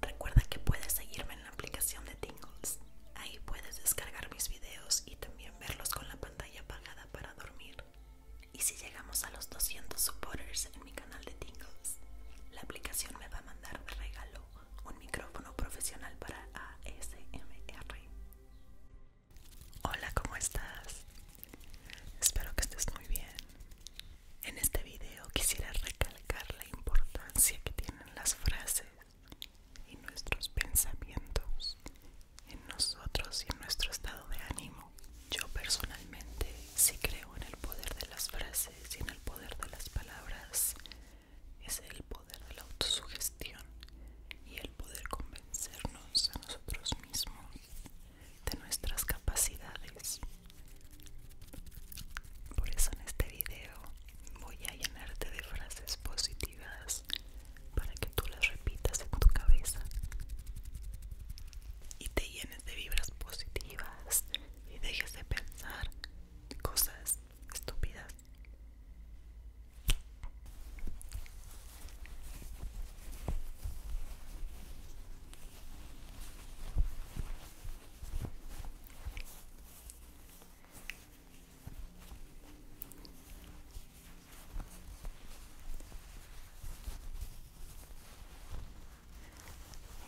Recuerda que puedes seguirme en la aplicación de Tingles. Ahí puedes descargar mis videos y también verlos con la pantalla apagada para dormir. Y si llegamos a los 200 supporters en mi canal de Tingles, la aplicación me va a mandar regalo un micrófono profesional para ASMR. Hola, ¿cómo estás? Espero que estés muy bien. En este video quisiera recalcar la importancia que tienen las frases y nuestros pensamientos en nosotros y en nuestro estado de ánimo. Yo personalmente sí creo en el poder de las frases y en el poder de las palabras. Es el poder de la autosugestión y el poder convencernos a nosotros mismos de nuestras capacidades. Por eso en este video voy a llenarte de frases positivas para que tú las repitas en tu cabeza y te llenes de vibras positivas y dejes de pensar cosas estúpidas.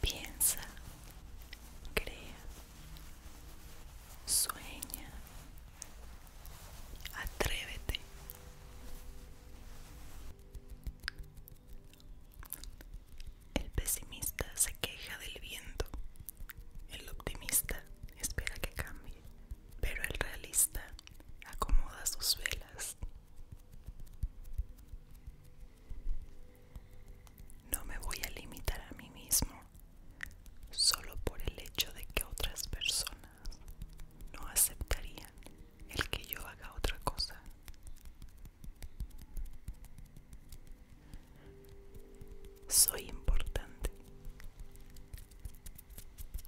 Piensa, crea, sueña, atrévete. El pesimista se queja del viento, el optimista espera que cambie, pero el realista acomoda sus velas. No me voy a limitar a mí mismo solo por el hecho de que otras personas no aceptarían el que yo haga otra cosa. Soy importante.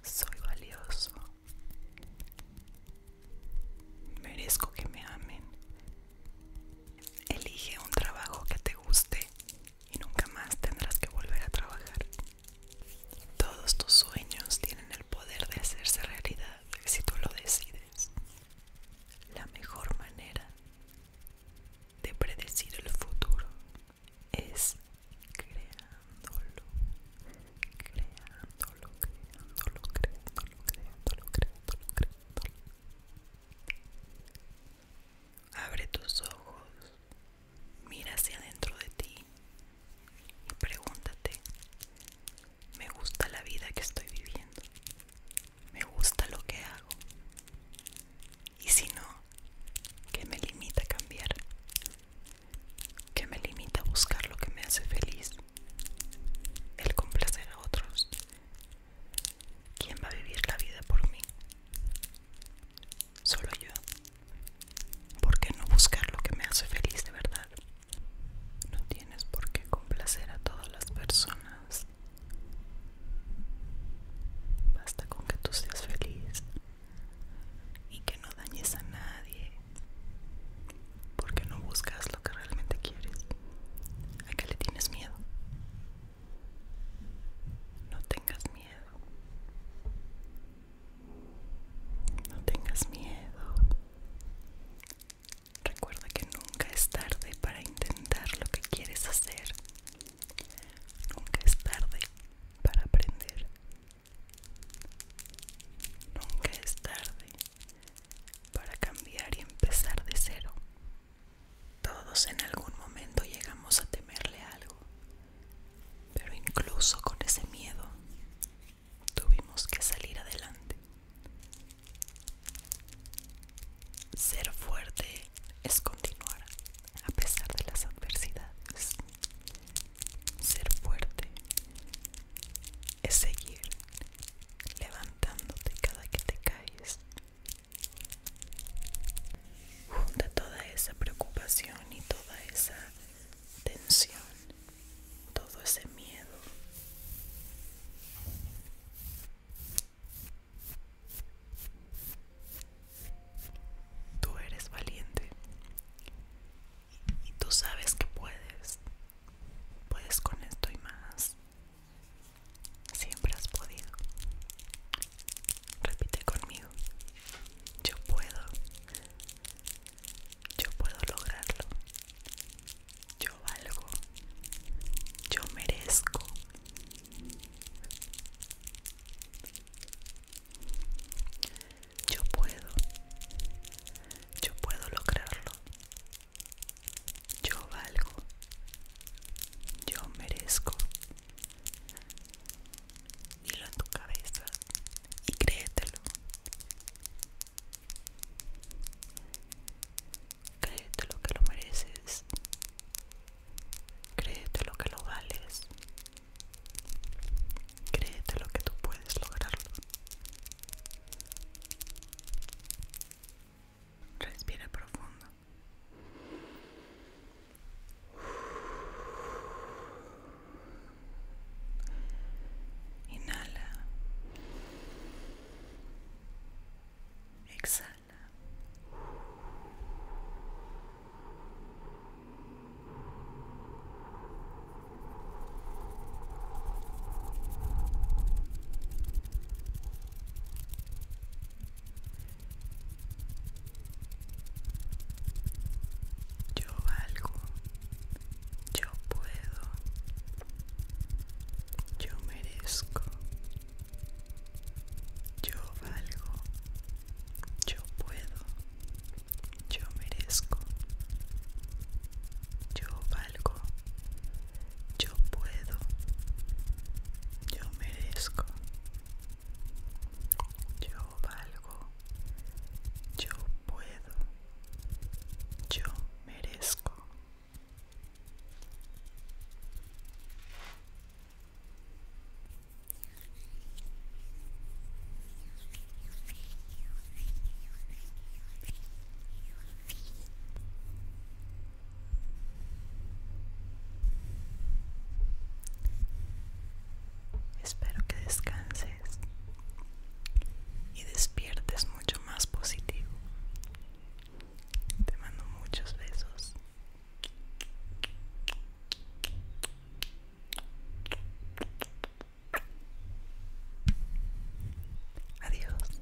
Soy valioso. Merezco que me amen. Elige un trabajo que te guste y nunca más tendrás que volver a trabajar. Todos tus sueños tienen el poder de hacerse realidad si tú lo decides. La mejor manera de predecir el futuro es creándolo, creándolo, creándolo, creándolo, creándolo, creándolo, creándolo. Abre tus ojos, mira hacia adentro de ti y Pregúntate, ¿me gusta la vida que estoy viviendo? ¿Me gusta lo que hago? Y si no, ¿qué me limita a cambiar? ¿Qué me limita a buscar lo que me hace feliz? El complacer a otros. ¿Quién va a vivir la vida por mí? Solo yo. ¿Por qué no buscar lo que me hace feliz de verdad? No tienes por qué complacer a todas las personas. Basta con que tú seas feliz y que no dañes a nadie. Porque no buscas lo que realmente quieres. ¿A qué le tienes miedo? No tengas miedo. No tengas miedo. Recuerda que nunca es tarde para intentar lo que quieres hacer. Nunca es tarde para aprender. Nunca es tarde para cambiar y empezar de cero. Todos en algún momento llegamos a temerle algo, pero incluso con ese miedo tuvimos que salir adelante. Ser fuerte es continuar a pesar de las adversidades. Ser fuerte es seguir levantándote cada que te caes. Junta toda esa preocupación y toda esa tensión, todo ese miedo. Tú eres valiente y tú sabes que puedes, puedes con esto y más. Siempre has podido. Repite conmigo. Yo puedo. Yo puedo lograrlo. Yo valgo. Yo merezco. Yo puedo. Yo puedo lograrlo. Yo valgo. Yo merezco. Dilo en tu cabeza y créetelo. Créete lo que lo mereces. Créete lo que lo vales. Créete lo que tú puedes lograrlo. Respira profundo. Inhala. Exhala. Yo valgo, yo puedo, yo merezco, yo valgo, yo puedo, yo merezco, yo valgo, yo puedo, yo merezco. Yo valgo, yo puedo, yo merezco. Espero que descanses y despiertes mucho más positivo. Te mando muchos besos. Adiós.